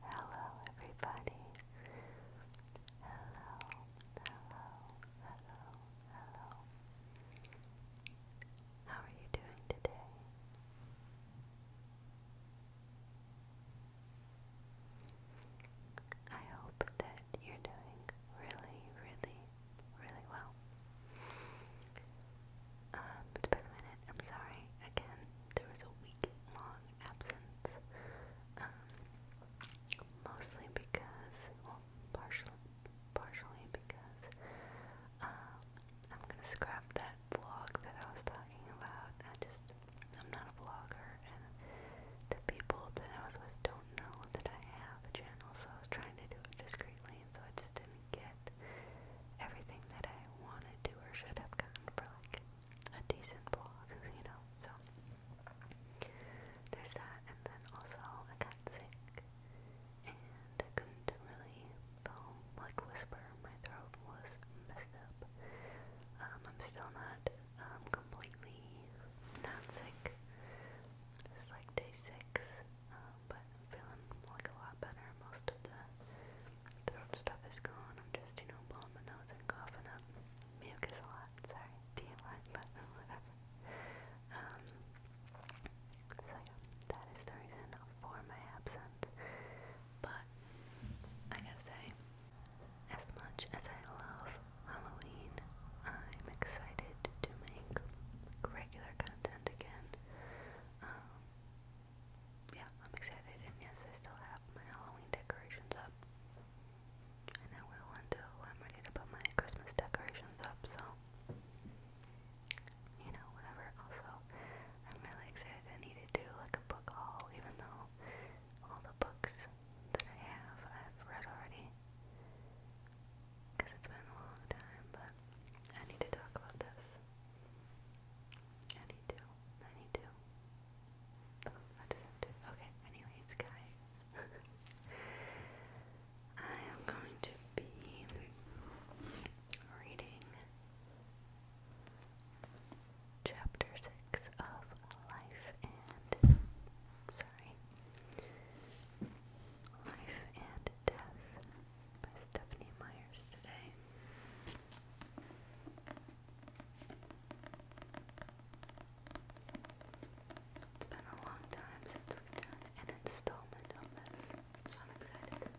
Hello, everybody. Hello, hello, hello, hello. How are you doing today? I hope that you're doing really, really, really well it's um, been a minute. I'm sorry. Again, there was a week-long absence. Um, mostly because, well, partially, partially because, um, I'm gonna scrap that vlog that I was talking about. I just, I'm not a vlogger, and the people that I was with don't know that I have a channel, so I was trying to do it discreetly, and so I just didn't get everything that I wanted to or should have gotten for like a decent vlog, you know. So there's that, and then also I got sick and couldn't really like whisper. My throat was messed up. Um, I'm still not um, completely not sick. It's like day six, uh, but feeling like a lot better most of the stuff is gone. I'm just, you know, blowing my nose and coughing up mucus a lot. Sorry, DMI, but whatever. Um, so yeah, that is the reason for my absence. But I gotta say, as much as I love Halloween, I'm excited to make regular content again. Um, yeah, I'm excited, and yes, I still have my Halloween decorations up, and I will until I'm ready to put my Christmas decorations up, so, you know, whatever, also, I'm really excited, I need to do, like, a book haul, even though all the books that I have, I've read already, because it's been a long time, but I need to talk about this. I need to Okay, anyways, guys. I am going to be reading chapter 6 of Life and. Sorry. Life and Death by Stephanie Myers today. It's been a long time since we've done an installment on this, so I'm excited.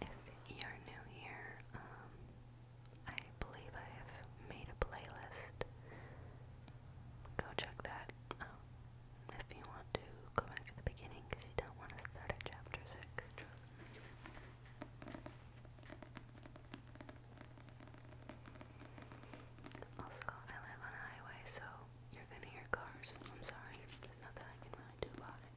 If you're new here, um, I believe I have made a playlist. Go check that if you want to go back to the beginning because you don't want to start at chapter 6, trust me. Also, I live on a highway, so you're gonna hear cars. I'm sorry, there's nothing I can really do about it.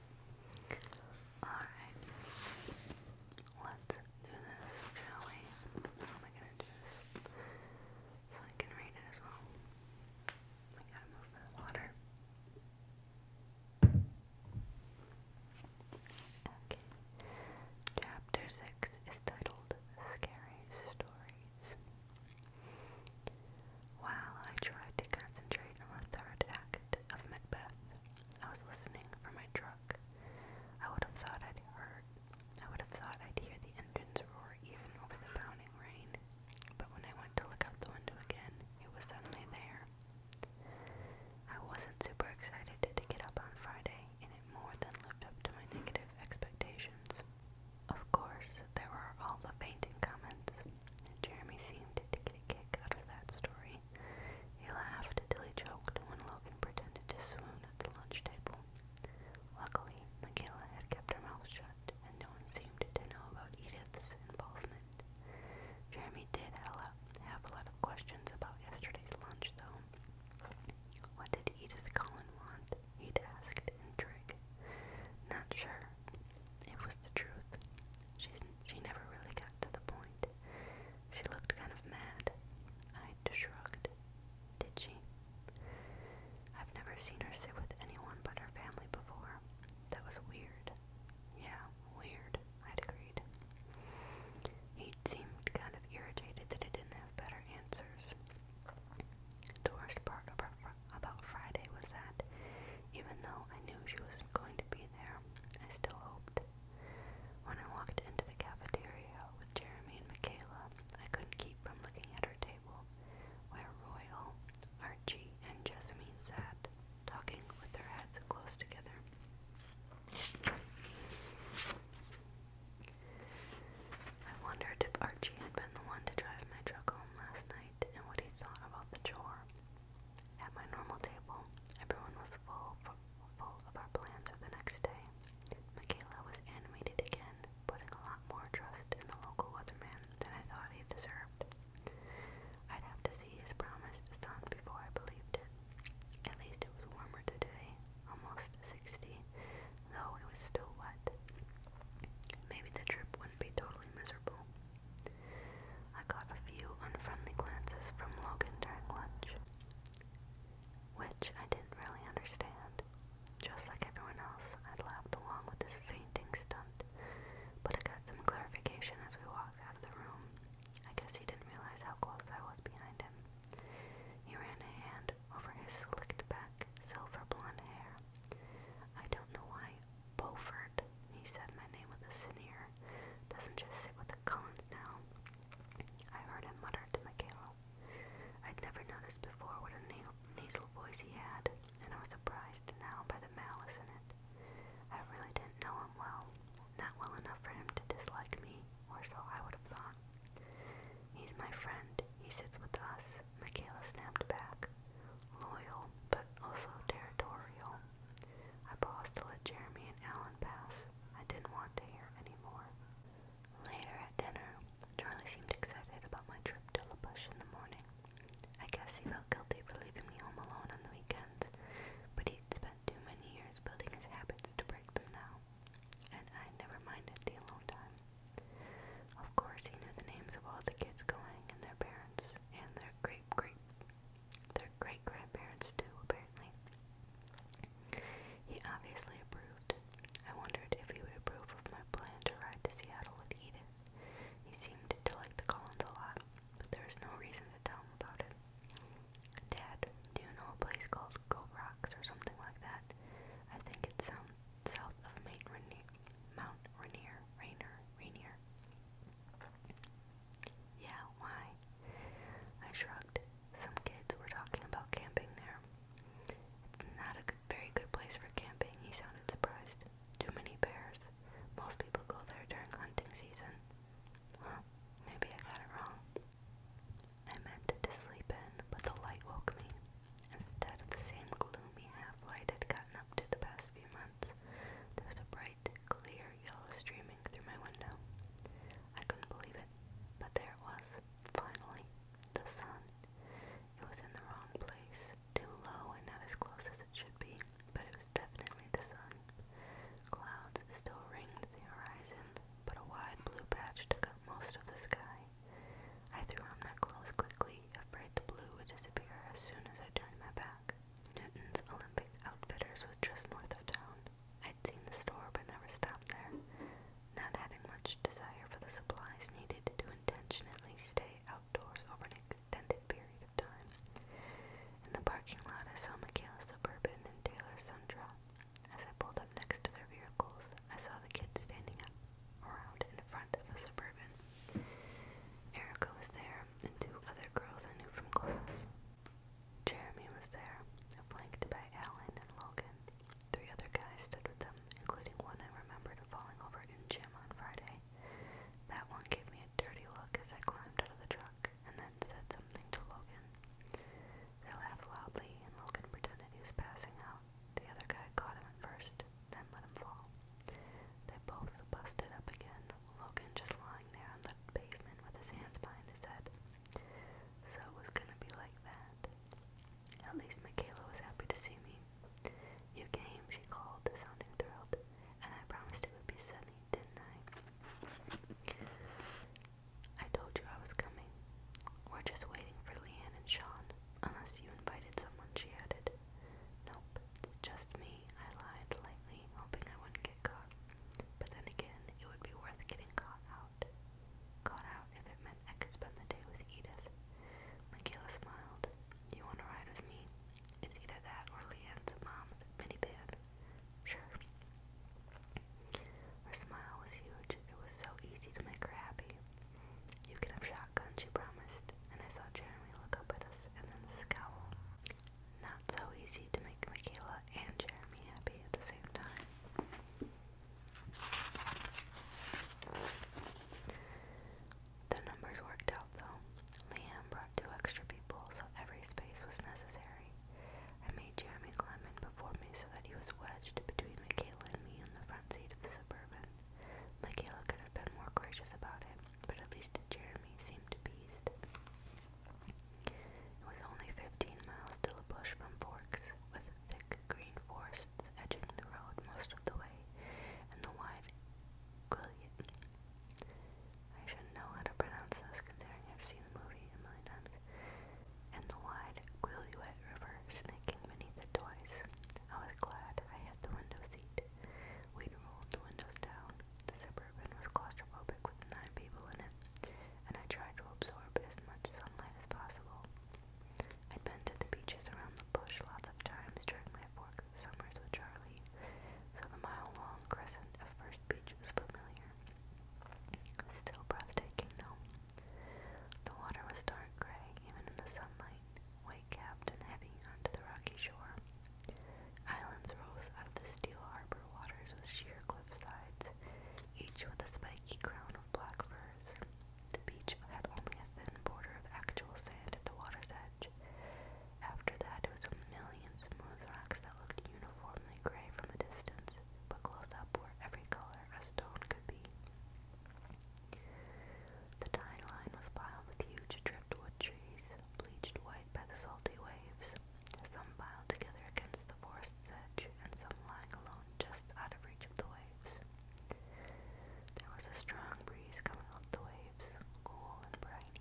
Alright. Let's do this, shall How am I gonna do this? So I can read it as well. I gotta move the water. Okay. Chapter 6 is titled Scary Stories. While I tried to concentrate on the third act of Macbeth, I was listening for my truck. I would have thought I'd heard. I would have thought I'd hear the engines roar even over the pounding rain. But when I went to look out the window again, it was suddenly there. I wasn't super excited to get up on Friday, and it more than lived up to my negative expectations. Of course, there were all the fainting comments. Jeremy seemed to get a kick out of that story, he laughed till he choked when Logan pretended to swoon at the lunch table. Luckily, Michaela had kept her mouth shut, and no one seemed to know about Edith's involvement. Jeremy did have a lot, have a lot of questions about yesterday's lunch, though. What did Edith Cullen want? He'd asked intrigue. Not sure. It was the truth. She's, she never really got to the point. She looked kind of mad. I shrugged. Did she? I've never seen her sit with anyone but her family before. That was weird. Yeah, weird, I'd agreed. He seemed kind of irritated that I didn't have better answers. The worst part about Friday was that, even though I knew she wasn't going to be there, I still hoped. When I walked into the cafeteria with Jeremy and Michaela, I couldn't keep from looking at her table, where Royal, Archie, and Jessamine sat, talking with their heads close together. I wondered if Archie had been the one to drive my truck home last night and what he thought about the chore. At my normal table, everyone was full, full of our plans for the next day. Michaela was animated again, putting a lot more trust in the local weatherman than I thought he deserved. I'd have to see his promised sun before I believed it. At least it was warmer today, almost 60, though it was still wet. Maybe the trip wouldn't be totally miserable. I got a few unfriendly glances from Logan during lunch, which I didn't really understand. Just like everyone else, I would laughed along with this fainting stunt, but I got some clarification as we walked out of the room. I guess he didn't realize how close I was behind him. He ran a hand over his slicked back, silver blonde hair. I don't know why Beaufort, he said my name with a sneer, doesn't just sit with the Cullens now. I heard him mutter to Michaela. I'd never noticed before what a nasal voice he had, and I was surprised now by the malice in it. I really didn't know him well, not well enough for him to dislike me, or so I would have thought. He's my friend, he sits with us, Michaela snapped back. Loyal, but also territorial. I paused to let Jeremy and Alan pass. I didn't want to hear any more. Later at dinner, Charlie seemed excited about my trip to La Bush in the morning. I guess he felt guilty for leaving me home alone on the weekends, but he'd spent too many years building his habits to break them now, and I never minded the alone time. Of course, he knew the names of all the kids going and their parents and their great great their great grandparents, too, apparently. He obviously approved. I wondered if he would approve of my plan to ride to Seattle with Edith. He seemed to like the Collins a lot, but there was no reason to tell him about it. Dad, do you know a place called Go Rocks or something like that? I think it's um, south of Mount Rainier. Mount Rainier, Rainier, Rainier. Yeah, why? I shrugged. Some kids were talking about camping there. It's not a good, very good place for camping, he sounded surprised. Too many bears. Most people go there during hunting season. Huh, maybe I got it wrong. I meant to sleep in, but the light woke me. Instead of the same gloomy half light I'd gotten up to the past few months, there was a bright, clear yellow streaming through my window. I couldn't believe it, but there it was, finally, the sun. It was in the wrong place, too low and not as close as it should be, but it was definitely the sun. Clouds still ringed the horizon, but a wide blue patch took up most of the sky. I threw on my clothes quickly, afraid the blue would disappear as soon as I turned my back. Newton's Olympic Outfitters was just north of town, I'd seen the store but never stopped there, not having much desire for the supplies needed to intentionally stay outdoors over an extended period of time. In the parking lot, I saw Michaela's Suburban and Taylor's Sundra. As I pulled up next to their vehicles, I saw the kids standing up around in front of the Suburban. Erica was there, and two other girls I knew from class. Jeremy was there, flanked by Alan and Logan. Three other guys stood with them, including one I remembered falling over in gym on Friday. That one gave me a dirty look as I climbed out of the truck and then said something to Logan. They laughed loudly, and Logan pretended he was passing out. The other guy caught him at first, then let him fall. They both busted up again, Logan just lying there on the pavement with his hands behind his head. So it was gonna be like that. At least Michaela was happy to see me. You came, she called, sounding thrilled, and I promised it would be sunny, didn't I? I told you I was coming. We're just waiting for Leanne and Sean, unless you invited someone, she added. Nope, it's just me, I lied lightly, hoping I wouldn't get caught. But then again, it would be worth getting caught out. Caught out if it meant I could spend the day with Edith. Michaela smiled. You want to ride with me? It's either that or Leanne's mom's minivan. Sure. Her smile was huge. It was so easy to make her happy. You can have shotgun, she promised, and I saw Jeremy look up at us and then scowl. No, so easy to make Michaela and Jeremy happy at the same time. The numbers worked out though. Liam brought two extra people, so every space was necessary. I made Jeremy climb in before me so that he was wedged between Michaela and me in the front seat of the Suburban. Michaela could have been more gracious about it, but at least Jeremy seemed appeased. It was only fifteen miles to the bush from Forks, with thick green forests edging the road most of the way, and the wide Quilliot. I should know how to pronounce this considering I've seen the movie a million times. And the wide Quilliot River snaking beneath it twice. I was glad I had the window seat. We'd rolled the windows down. The suburban was claustrophobic with nine people in it and I tried to absorb as much sunlight as possible. I'd been to the beaches around the bush lots of times during my four summers with Charlie, so the mile-long crescent of First Beach was familiar. Still breathtaking, though. The water was dark gray, even in the sunlight, white-capped and heavy onto the rocky shore. Islands rose out of the steel harbor waters with sheer cliff sides, each with a spiky crown of black firs. The beach had only a thin border of actual sand at the water's edge. After that, it was a million smooth rocks that looked uniformly gray from a distance, but close up were every color a stone could be. The tide line was piled with huge driftwood trees, bleached white by the salty waves. Some piled together against the forest's edge, and some lying alone just out of reach of the waves. There was a strong breeze coming off the waves, cool and briny.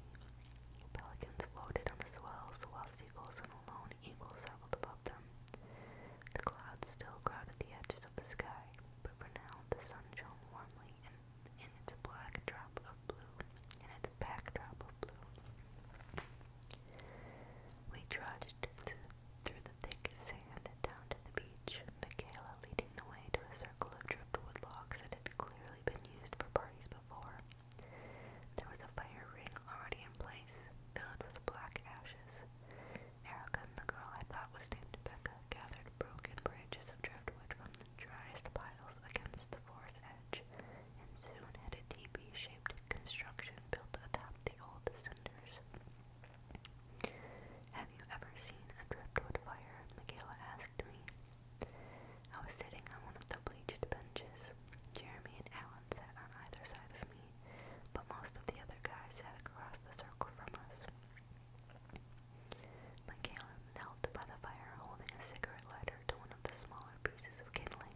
Pelicans floated on the swells, while seagulls and alone eagles circled above them. The clouds still crowded the edges of the sky, but for now the sun shone warmly in, in its black drop of blue, in its backdrop of blue. We trudged through the thick sand and down to the beach, Michaela leading the way to a circle of driftwood logs that had clearly been used for parties before. There was a fire ring already in place, filled with black ashes. Erica and the girl I thought was named Becca gathered broken branches of driftwood from the driest piles against the fourth edge and soon had a teepee shape construction built atop the old cinders. Have you ever seen a driftwood fire? Michaela asked me. I was sitting on one of the bleached benches. Jeremy and Alan sat on either side of me, but most of the other guys sat across the circle from us. Michaela knelt by the fire holding a cigarette lighter to one of the smaller pieces of kindling.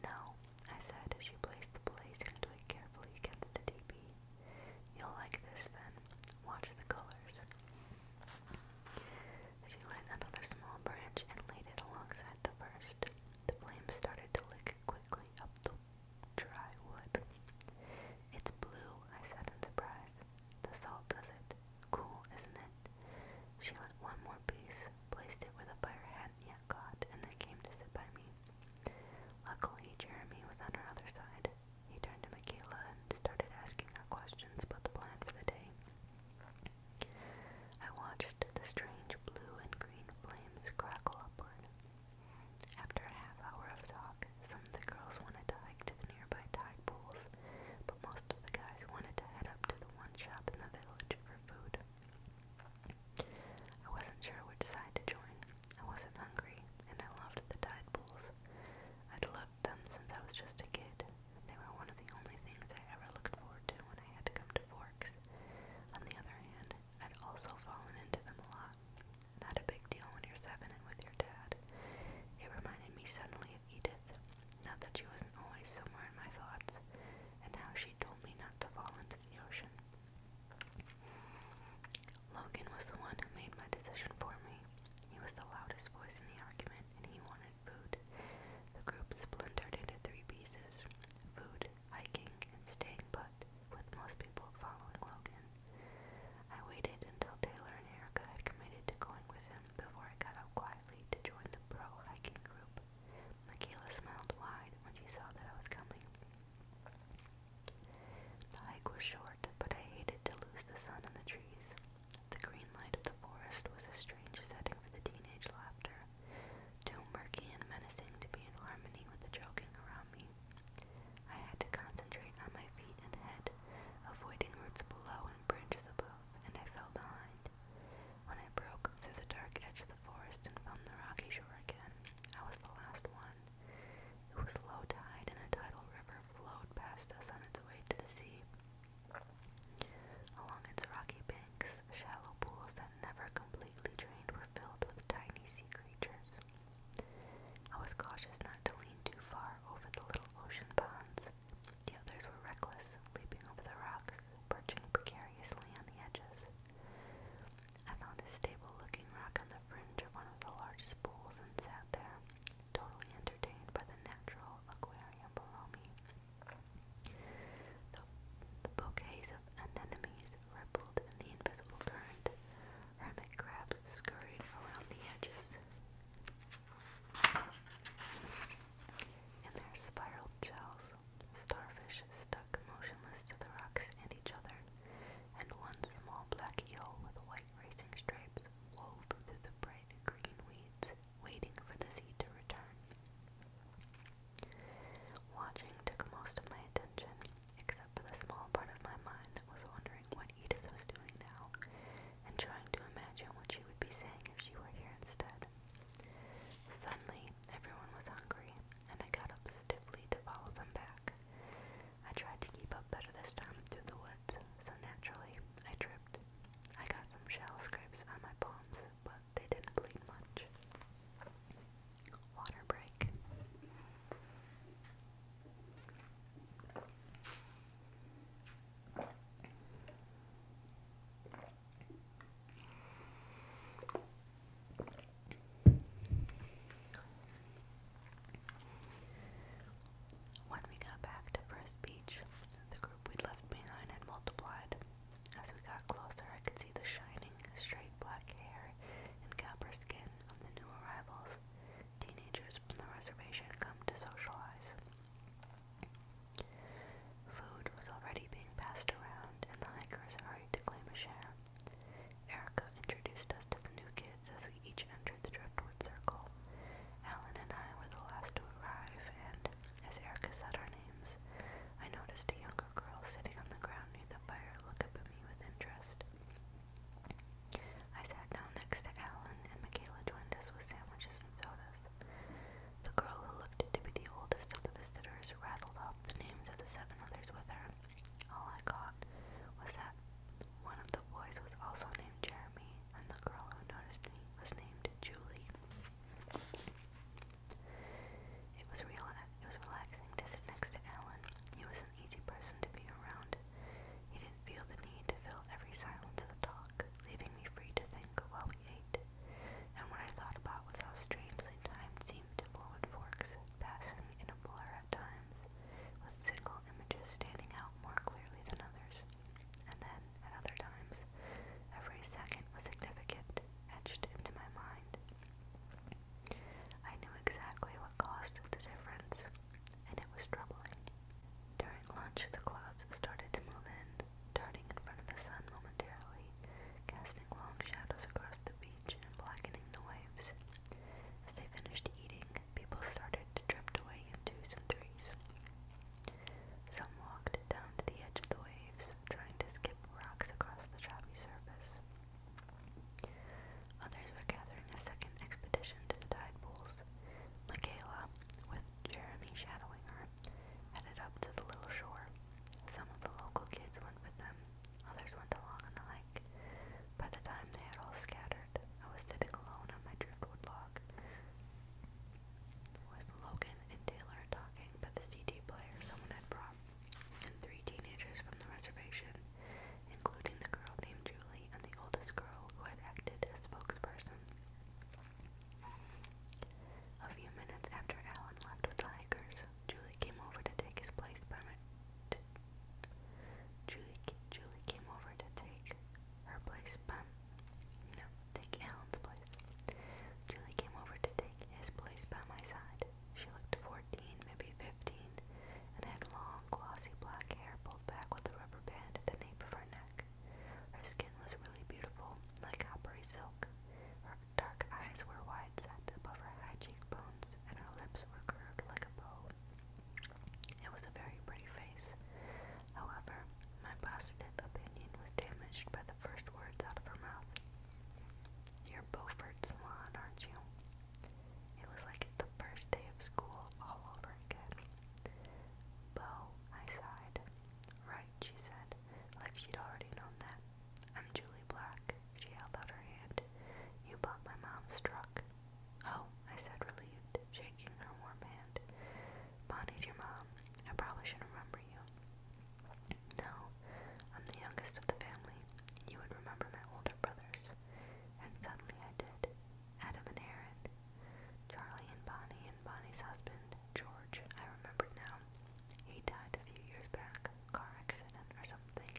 No, I said as she placed the blaze-conduit carefully against the DB. You'll like this then. Watch the colors. She lit another small branch and laid it alongside the first. The flame started to lick quickly up the dry wood. It's blue, I said in surprise. The salt does it. Cool, isn't it? She lit one more piece, placed it with the fire had had caught and then came to sit by me. Luckily, Jeremy was on her other side. He turned to Michaela and started asking her questions about the plan for the day. I watched the strange blue and green flames crackle upward. After a half hour of talk, some of the girls wanted to hike to the nearby tide pools, but most of the guys wanted to head up to the one shop in the village for food. I wasn't sure which side to join. I wasn't hungry, and I loved the tide pools. I'd loved them since I was just a kid. They were one of the only things I ever looked forward to when I had to come to Forks. On the other hand, I'd also fallen into them a lot. Not a big deal when you're seven and with your dad. It reminded me suddenly of Edith. Not that she wasn't always somewhere in my thoughts, and how she told me not to fall into the ocean. Logan was the one who made my decision for me. He was the loudest voice in the argument, and he wanted food. The group splintered into three pieces food, hiking, and staying put, with most people following Logan. I waited until Taylor and Erica had committed to going with him before I got out quietly to join the pro hiking group. Michaela smiled wide when she saw that I was coming. The hike was short, but I hated to lose the sun and the trees. The green light of the forest was a strange setting for the teenage laughter, too murky and menacing to be in harmony with the joking around me. I had to concentrate on my feet and head, avoiding roots below and branches above, and I fell behind. When I broke through the dark edge of the forest and found the rocky shore again, I was the last one. It was low tide, and a tidal river flowed past us on its way to the sea. Along its rocky banks, shallow pools that never completely drained were filled with tiny sea creatures. I was cautious not to lean too far over the little ocean ponds. The others were reckless, leaping over the rocks, perching precariously on the edges. I found a stable looking rock on the fringe of one of the largest pools and sat there, totally entertained by the natural aquarium below me. The, the bouquets of anemones rippled in the invisible current. Hermit crabs scurried around the edges. In their spiral shells, starfish stuck motionless to the rocks and each other, and one small black eel with white racing stripes wove through the bright green weeds, waiting for the sea to return. Watching took most of my attention, except for the small part of my mind that was wondering what Edith was doing now, and trying to imagine what she would be saying if she were here instead. Suddenly, everyone was hungry, and I got up stiffly to follow them back. I tried to keep up better this time through the woods, so naturally, I tripped. I got some shell scrapes on my palms, but they didn't bleed much. Water break. When we got back to First Beach, the group we'd left behind had multiplied. As we got closer, I could see the shining, straight black hair and copper skin of the new arrivals, teenagers from the reservation come to socialize. Food was already being passed around, and the hikers hurried to claim a share. Erica introduced us to the new kids as we each entered the Driftwood Circle. Alan and I were the last to arrive, and as Erica said our names, I noticed a younger girl sitting on the ground near the fire look up at me with interest. I sat down next to Alan, and Michaela joined us with sandwiches and sodas. The girl who looked to be the oldest of the visitors rattled off out the names of the seven others with her. All I got was that one of the boys was also named Jeremy, and the girl who noticed me was named Julie. It was real. It was relaxing to sit next to Alan. He was an easy person to be around. He didn't feel the need to fill every silence with talk, leaving me free to think while we ate. And what I thought about was how strangely time seemed to forward forks, passing in a blur at times, with single images standing out more clearly than others. And then, at other times, every second was significant, etched into my mind. I knew exactly what caused the difference, and it was troubling. During lunch, the clouds started to move in, darting in front of the sun momentarily, casting long shadows across the beach blackening the waves. As they finished eating, people started to drift away in twos and threes. Some walked down to the edge of the waves, trying to skip rocks across the choppy surface. Others were gathering a second expedition to the tide pools. Michaela, with Jeremy shadowing her, headed up to the little shore. Some of the local kids went with them, Others went along on the hike. By the time they had all scattered, I was sitting alone on my driftwood log with Logan and Taylor talking about the CD player someone had brought and three teenagers from the reservation, including the girl named Julie and the oldest girl who had acted as spokesperson. A few minutes after Alan left with the hikers, Julie came over to take his place by my. Julie, Julie came over to take her place by. No, take Alan's place. Julie came over to take his place by my side. She looked 14, maybe 15, and had long, glossy black hair pulled back with a rubber band at the nape of her neck. Her skin was really beautiful, like coppery silk. Dark eyes were wide set above her high cheekbones, and her lips were curved like a bow. It was a very pretty face. However, my positive opinion was damaged by the first words out of her mouth. You're Beaufort Swan, aren't you? It was like the first day of school all over again. Beau, I sighed. Right, she said, like she'd already known that. I'm Julie Black, she held out her hand. You bought my mom's truck. Oh, I said, relieved, shaking her warm hand. Bonnie's your mom. I probably should remember you. No, I'm the youngest of the family. You would remember my older brothers. And suddenly I did. Adam and Aaron, Charlie and Bonnie, and Bonnie's husband, George, I remembered now. He died a few years back car accident or something,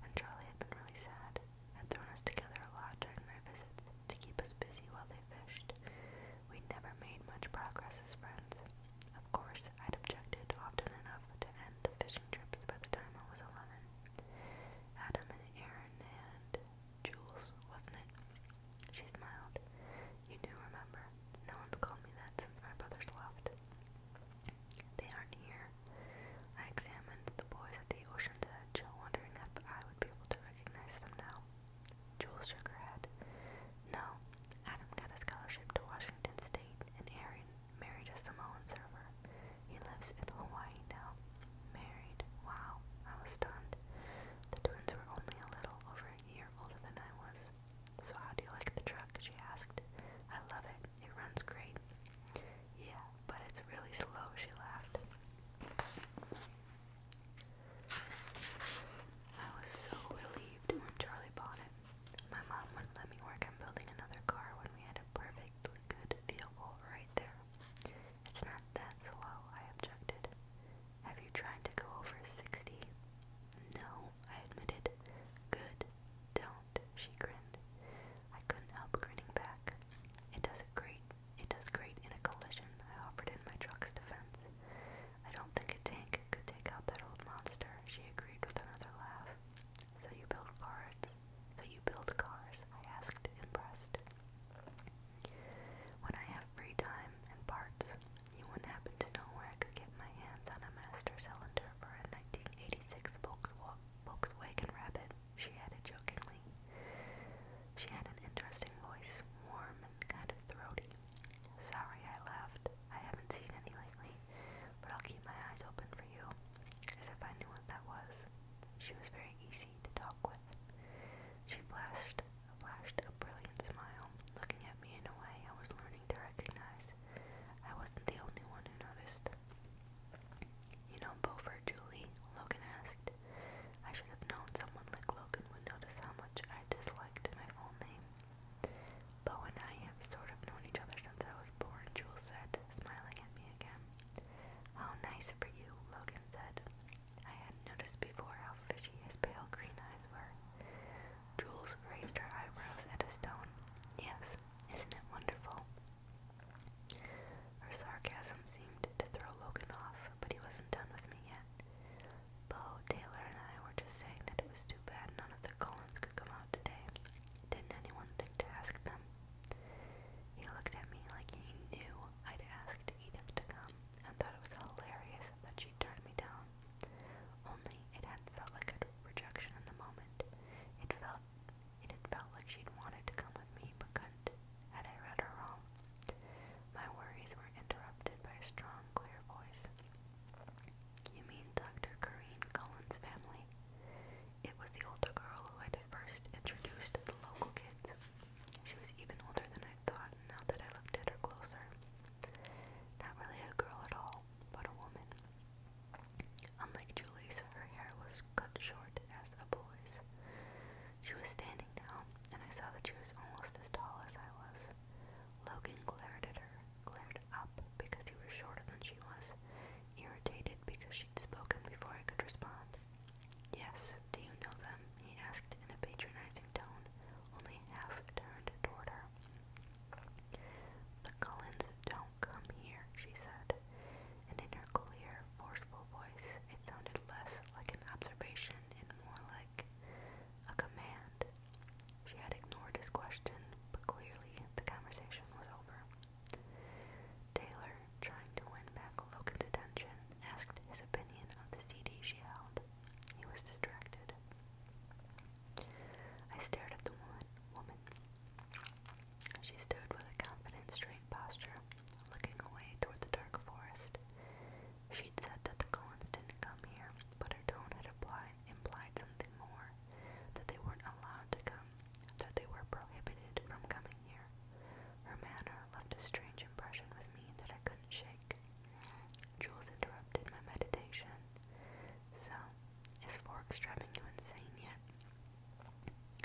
and Charlie had been really sad. Had thrown us together a lot during my visits to keep us busy while they fished. We never made much progress as friends. Of course, I'd objected often enough to end the fishing trips by the time I was eleven. Adam and Aaron and Jules, wasn't it? She smiled. You do remember. No one's called me that since my brothers left. They aren't here. I examined the boys at the ocean's edge, wondering if I would be able to recognize them now. Jules shook her head. No, Adam got a scholarship to Washington State, and Aaron married a Samoan server. He lives in Hawaii now. Married. Wow, I was stunned. The twins were only a little over a year older than I was. So, how do you like the truck? She asked. I love it. It runs great. Yeah, but it's really slow, she laughed. I was so relieved when Charlie bought it. My mom wouldn't let me work on building another car when we had a perfectly good vehicle right there. It's not that slow, I objected. Have you tried to go over 60? No, I admitted. Good. Don't she grinned. I couldn't help grinning back. It does great it does great in a collision, I offered in my truck's defense. I don't think a tank could take out that old monster, she agreed with another laugh. So you build cars so you build cars, I asked, impressed. When I have free time and parts, you wouldn't happen to know where I could get my hands on a master cylinder for a 1986 Volkswagen Volkswagen Rabbit, she added jokingly. She had an interesting voice, warm and kind of throaty. Sorry, I laughed. I haven't seen any lately, but I'll keep my eyes open for you. As if I knew what that was. She was very easy to talk with. She flashed, flashed a brilliant smile, looking at me in a way I was learning to recognize. I wasn't the only one who noticed. You know Beaufort, Julie? Logan asked. I should have known someone like Logan would notice how much I disliked my full name. Beau and I have sort of known each other since I was born, Jules said, smiling at me again. How nice for you, Logan said. I hadn't noticed before how fishy his pale green eyes were. Jules raised her eyebrows at a stone. Yes, isn't it wonderful? Her sarcasm seemed to throw Logan off, but he wasn't done with me yet. Bo, Taylor, and I were just saying that it was too bad none of the Collins could come out today. Didn't anyone think to ask them? He looked at me like he knew I'd asked Edith to come and thought it was hilarious that she turned me down. Only it hadn't felt like a rejection in the moment. It felt it felt like she'd wanted to come with me but couldn't, had I read her wrong. My worries were interrupted by a strong, clear voice. You mean Dr. Corrine Cullen's family? It was the older girl who had first introduced the local kids. She was even older than I thought now that I looked at her closer. Not really a girl at all, but a woman. Unlike Julie's, her hair was cut short as a boy's. She was standing now, and I saw that she was almost as tall as I was. Logan glared at her, glared up because he was shorter than she was, irritated because she'd spoken before I could respond. Yes, do you know them? he asked in a patronizing tone, only half turned toward her. The Cullens don't come here, she said and in her clear, forceful voice, it sounded less like an observation and more like a command. She had ignored his question, but clearly the conversation was over. Taylor, trying to win back Logan's attention, asked his opinion of the CD she held. He was distracted. I stared at the woman. woman. She stood with a confident, straight posture, looking away toward the dark forest. She'd said that the Collins didn't come here, but her tone had implied, implied something more that they weren't allowed to come, that they were prohibited from coming here. Her manner left a strange impression with me that I couldn't shake. Jules interrupted my meditation. So, is Forks driving you insane yet?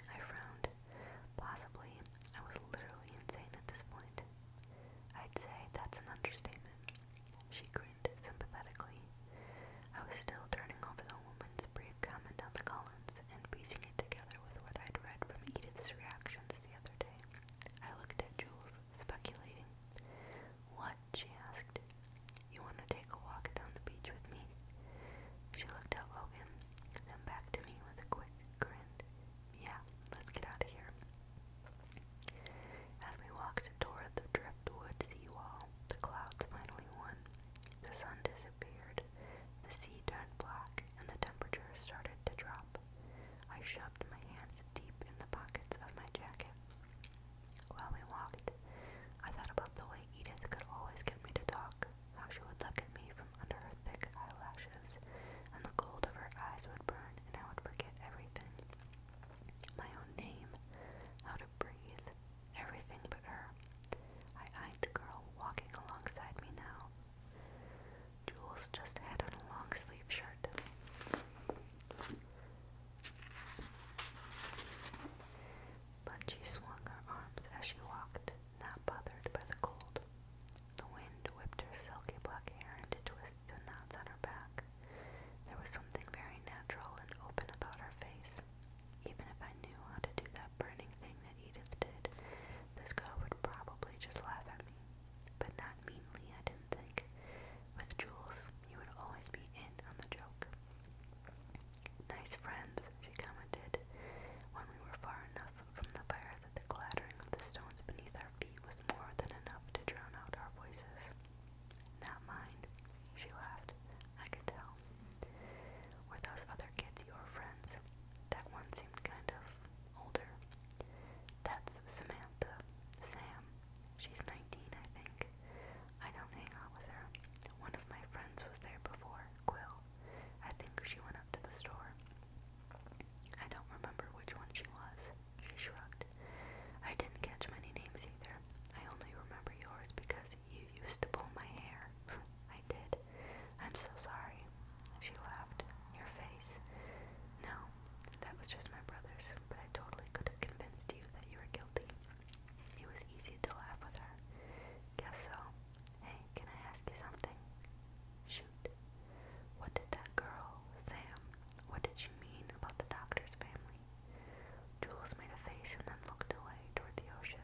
I frowned. Possibly, I was literally insane at this point. I'd say that's an understatement. She grinned sympathetically. I was still turning over the woman's brief comment on the Collins and piecing it together with what I'd read from Edith's reactions the other day. I looked at Jules, speculating. What? she asked. You want to take a walk down the beach with me? She looked at Logan, then back to me with a quick grin. Yeah, let's get out of here. As we walked toward the driftwood seawall, the clouds finally won. The sun disappeared, the sea turned black, and the temperature started to drop. I shoved my hands deep in the pockets of my jacket. While we walked, I thought about the way Edith could always get me to talk, how she would look at me from under her thick eyelashes, and the gold of her eyes would burn, and I would forget everything my own name, how to breathe, everything but her. I eyed the girl walking alongside me now. Jules just had on a long sleeve shirt but she swung her arms as she walked, not bothered by the cold. The wind whipped her silky black hair into twists and knots on her back. There was something very natural and open about her face. Even if I knew how to do that burning thing that Edith did, this girl would probably just laugh at me. But not meanly, I didn't think. With Jules, you would always be in on the joke. Nice friends, she commented, when we were far enough from the fire that the clattering of the stones beneath our feet was more than enough to drown out our voices. Not mine, she laughed. I could tell. Were those other kids your friends? That one seemed kind of older. That's Samantha. Sam. She's 19, I think. I don't hang out with her. One of my friends was there before, Quill. I think she went up to the store. I don't remember which one she was. She shrugged. I didn't catch many names either. I only remember yours because you used to pull my hair. I did. I'm so sorry. She laughed. Your face. No, that was just my brother's, but I totally could have convinced you that you were guilty. It was easy to laugh with her. Guess so. Hey, can I ask you something? Shoot. What did that girl, Sam, what did she mean about the doctor's family? Jules made a face and then looked away toward the ocean.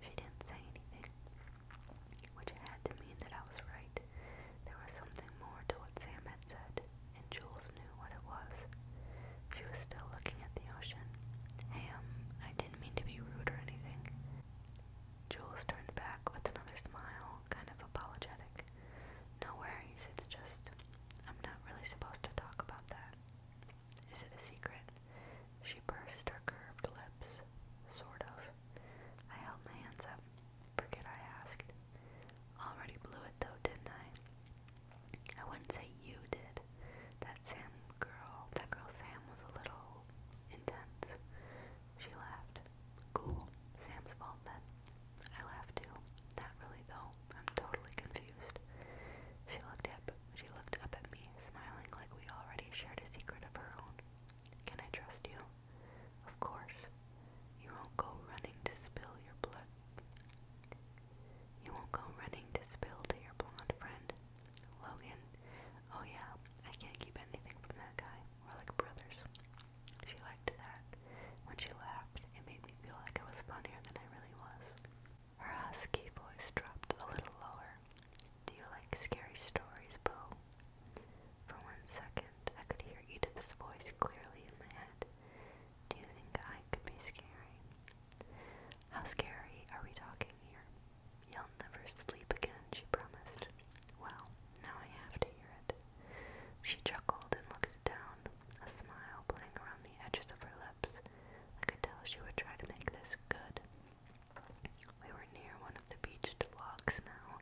She didn't say anything, which had to mean that I was right. There was something more to what Sam had said, and Jules knew what it was. She was still looking at the ocean. Hey, um, I did mean to be rude or anything. Jules turned back with another smile, kind of apologetic. No worries, it's just I'm not really supposed to talk about that. Is it a secret? She pursed her curved lips. Sort of. I held my hands up. Forget I asked. Already blew it though, didn't I? I wouldn't say you did that Sam girl, that girl Sam was a little intense. She laughed. Cool. Sam's fault then. I laughed too. Not really though. I'm totally confused. She looked up. She looked up at me, smiling like we already shared a secret of her own. Can I trust you? Of course. You won't go running to spill your blood. You won't go running to spill to your blonde friend Logan. Oh yeah, I can't keep anything from that guy. We're like brothers. She liked that. When she laughed, it made me feel like I was funnier than I really was. Her husky voice dropped a little lower. Do you like scary stories, Bo? For one second, I could hear Edith's voice clearly in my head. Do you think I could be scary? How scary are we talking here? You'll never sleep again, she promised. Well, now I have to hear it. She chuckled and looked down, a smile playing around the edges of her lips. I could tell she would try to make this good. We were near one of the beached logs now,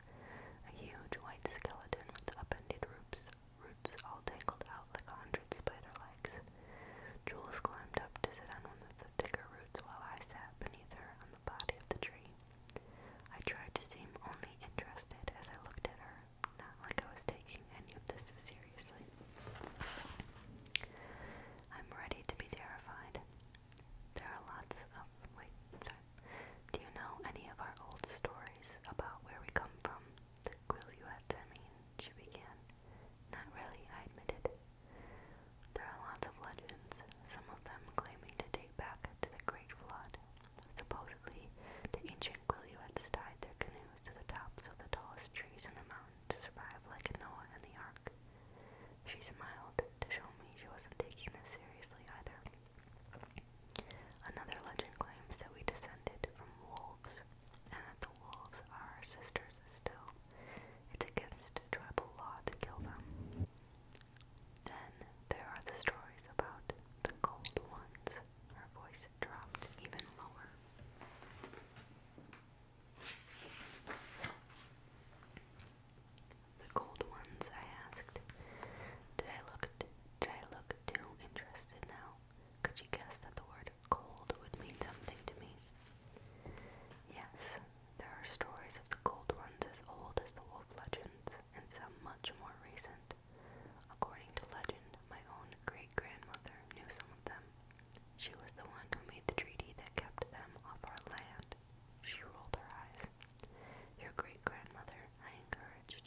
a huge white skeleton with upended roots, roots all tangled out like a hundred spider legs. Jules climbed up to sit on one of the thicker while I sat beneath her on the body of the tree. I tried to seem only interested as I looked at her, not like I was taking any of this seriously. I'm ready to be terrified. There are lots of. Wait, Do you know any of our old stories about where we come from? you Quiluets, I mean, she began. Not really, I admitted. There are lots of legends, some of them claiming to date back to the Great Flood. Supposedly, the ancient Quileots tied their canoes to the tops of the tallest trees in the mountain to survive like Noah and the Ark. She smiled to show me she wasn't taking this seriously either. Another legend claims that we descended from wolves and that the wolves are our sisters still. It's against tribal law to kill them. Then there are the stories about the cold ones. Her voice dropped even lower. The cold ones, I asked. Did I look did I look too interested now? Could you guess that the word cold would mean something to me? Yes, there are stories of the gold ones as old as the wolf legends, and some much more recent. According to legend, my own great grandmother knew some of them. She was the one who made the treaty that kept them off our land. She rolled her eyes. Your great grandmother, I encouraged.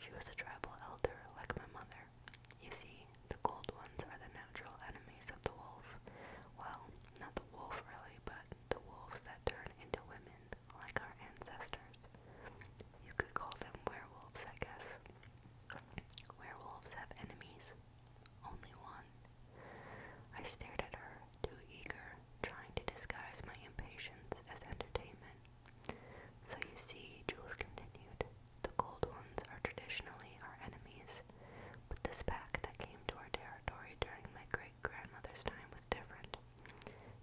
She was a tribal elder like my mother. You see, the gold ones are the natural enemies of the wolf, Well. Not the wolf, really, but the wolves that turn into women, like our ancestors. You could call them werewolves, I guess. Werewolves have enemies. Only one. I stared at her, too eager, trying to disguise my impatience as entertainment. So you see, Jules continued, the gold ones are traditionally our enemies. But this pack that came to our territory during my great grandmother's time was different.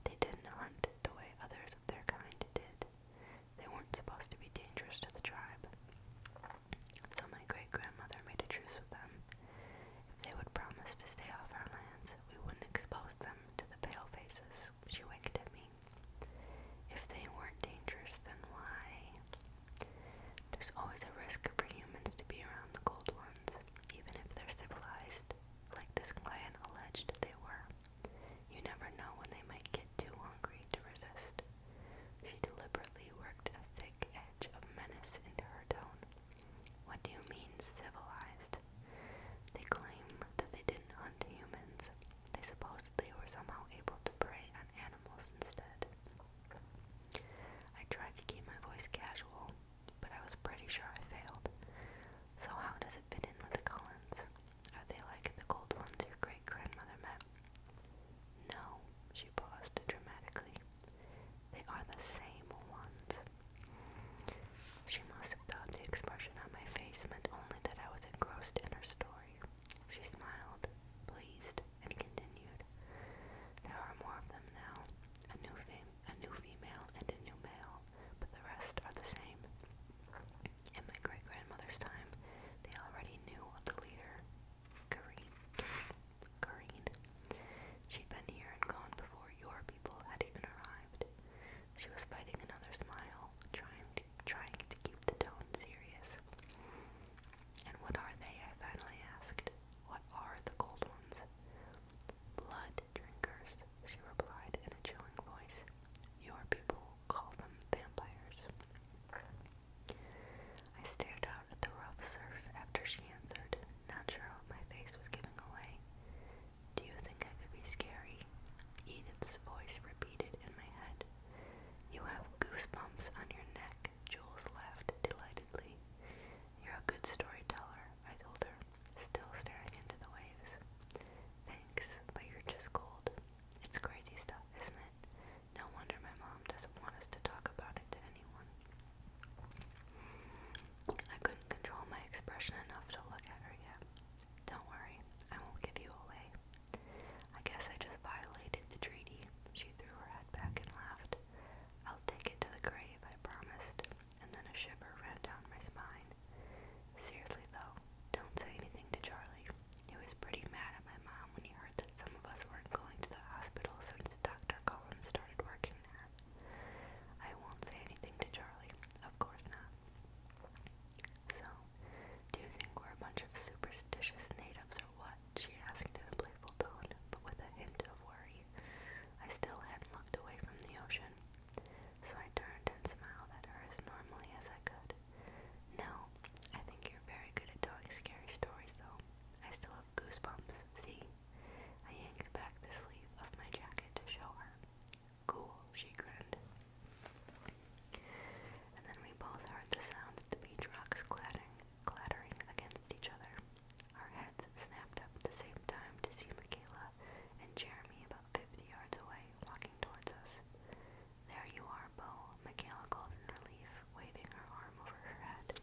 They didn't hunt the way others of their kind did. They weren't supposed to be dangerous to the tribe. So my great grandmother made a truce with them. If they would promise to stay off our lands, we wouldn't expose them to the pale faces. She winked at me. If they weren't dangerous, then why? There's always a risk for humans to be around the cold ones, even if they're civilized, like this clan alleged they were. You never know when they might get too hungry to resist. She deliberately worked a thick edge of menace into her tone. What do you mean, civilized? They claimed that they didn't hunt humans. They supposedly were somehow able to prey on animals instead. I tried to keep my voice casual, but I was pretty sure I failed. So, how does it fit in with the Collins? Are they like the gold ones your great grandmother met? No, she paused dramatically. They are the same ones. She must have thought the expression on my face meant only that I was engrossed in her story. She smiled, pleased, and continued. There are more of them now, a new, a new female and a new male, but the rest are the same. In my great grandmother's time, they already knew the leader, Kareen. Kareen. She'd been here and gone before your people had even arrived. She was fighting another smile, trying to trying to keep the tone serious. And what are they? I finally asked. What are the cold ones? Blood drinkers, she replied in a chilling voice. Your people call them vampires. I stared out at the rough surf after she answered, not sure if my face was giving away. Do you think I could be scary? Edith's voice repeated in my head. You have goosebumps on your neck, Jules laughed delightedly. You're a good storyteller, I told her, still staring into the waves. Thanks, but you're just cold. It's crazy stuff, isn't it? No wonder my mom doesn't want us to talk about it to anyone. I couldn't control my expression enough to look at her yet. Don't worry, I won't give you away. I guess I just violated the treaty. She threw her head back and laughed. I'll take it to the grave, I promised, and then a shiver ran down my spine. Seriously, though, don't say anything to Charlie. He was pretty mad at my mom when he heard that some of us weren't going to the hospital since Dr. Collins started working there. I won't say anything to Charlie, of course not. So, do you think we're a bunch of superstitious natives what? she asked in a playful tone, but with a hint of worry. I still hadn't looked away from the ocean, so I turned and smiled at her as normally as I could. No, I think you're very good at telling scary stories, though. I still have goosebumps, see? I yanked back the sleeve of my jacket to show her. Cool, she grinned. And then we both heard the sound of beach rocks clattering, clattering against each other. Our heads snapped up at the same time to see Michaela and Jeremy about fifty yards away, walking towards us. There you are, Bo, Michaela called in relief, waving her arm over her head.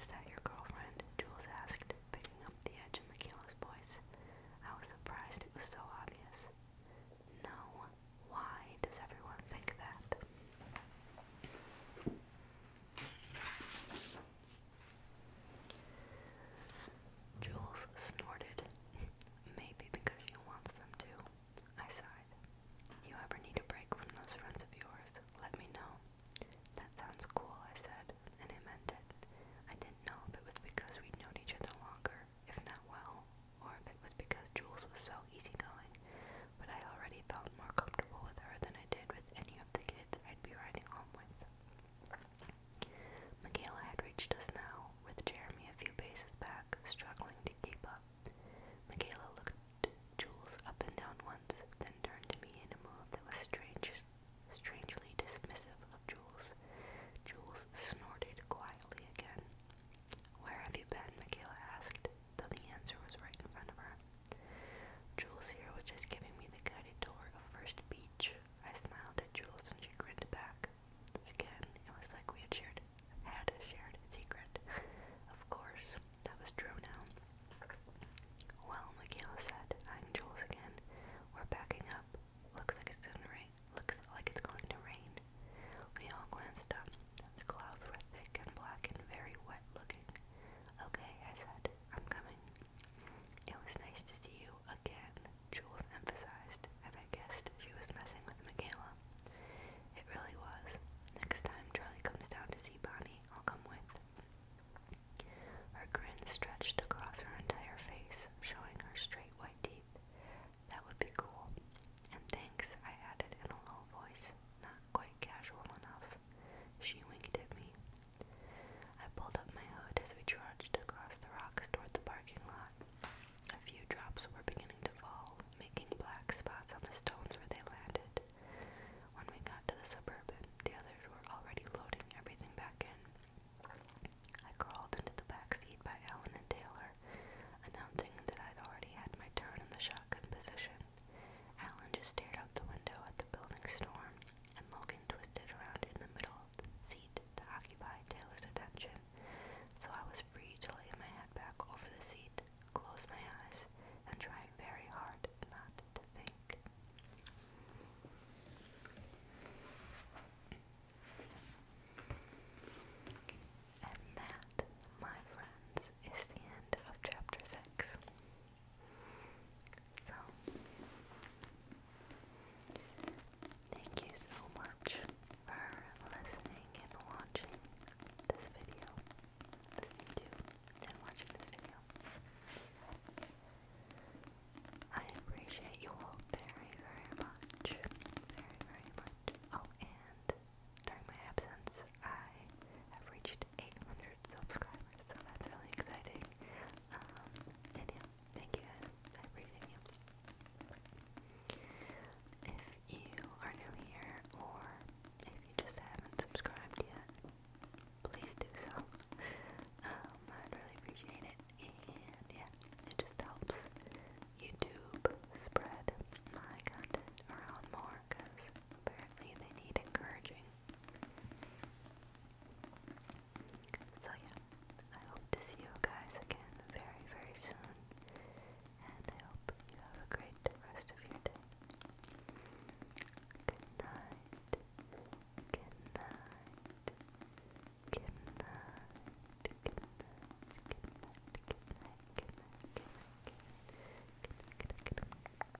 Is that your girlfriend? Jules asked, picking up the edge of Michaela's voice. I was surprised it was so obvious. No. Why does everyone think that? Jules snorted. Maybe because you want them too. I sighed. You ever need a break from those friends of yours, let me know. That sounds cool, I said, and I meant it. I didn't know if it was because we'd known each other longer, if not well, or if it was because Jules was so easygoing, but I already felt more comfortable with her than I did with any of the kids I'd be riding home with. Michaela had reached us now, with Jeremy a few paces back, struggling to keep up. Michaela looked Jules up and down once, then turned to me in a move that was strange, strangely dismissive of Jules. Jules snorted quietly again. Where have you been? Michaela asked though the answer was right in front of her. Jules here was just giving me the guided tour of First Beach. I smiled at Jules and she grinned back. Again, it was like we had shared had a shared secret. Of course, that was true now. Well, Michaela said, I'm Jules again. We're backing up. Looks like it's gonna rain. Looks like it's going to rain. We all glanced up. The clouds were thick and black and very wet looking. Okay, I said, I'm coming. It was nice to see you again, Jules emphasized, and I guessed she was messing with Michaela. It really was. Next time Charlie comes down to see Bonnie, I'll come with. Her grin stretched across her entire face, showing her straight white teeth. That would be cool. And thanks, I added in a low voice, not quite casual enough. She winked at me. I pulled up my hood as we trudged across the rocks toward the parking lot. A few drops were beginning to fall, making black spots on the stones where they landed. When we got to the suburban, the others were already loading everything back in. I crawled into the back seat by Ellen and Taylor, announcing that I'd already had my turn in the shuttle shotgun position. Alan just stared out the window at the building storm, and Logan twisted around in the middle seat to occupy Taylor's attention, so I was free to lay my head back over the seat, close my eyes, and try very hard not to think. And that, my friends, is the end of chapter 6. So, thank you so much for listening and watching this video. Listening to and watching this video. I appreciate you all very, very much. Very, very much. Oh, and during my absence, I have reached 800 subscribers, so that's really exciting. Um, yeah, thank you guys. I appreciate you. If you are new here, or if you just haven't subscribed yet, please do so. Um, I'd really appreciate it, and yeah, it just helps YouTube spread my content around more because apparently they need encouraging. So, yeah, I hope to see you guys again very, very soon, and I hope you have a great rest of your day. Good night, good night, good night, good night, good night, good night, good night, good night, good night, good night. Good night,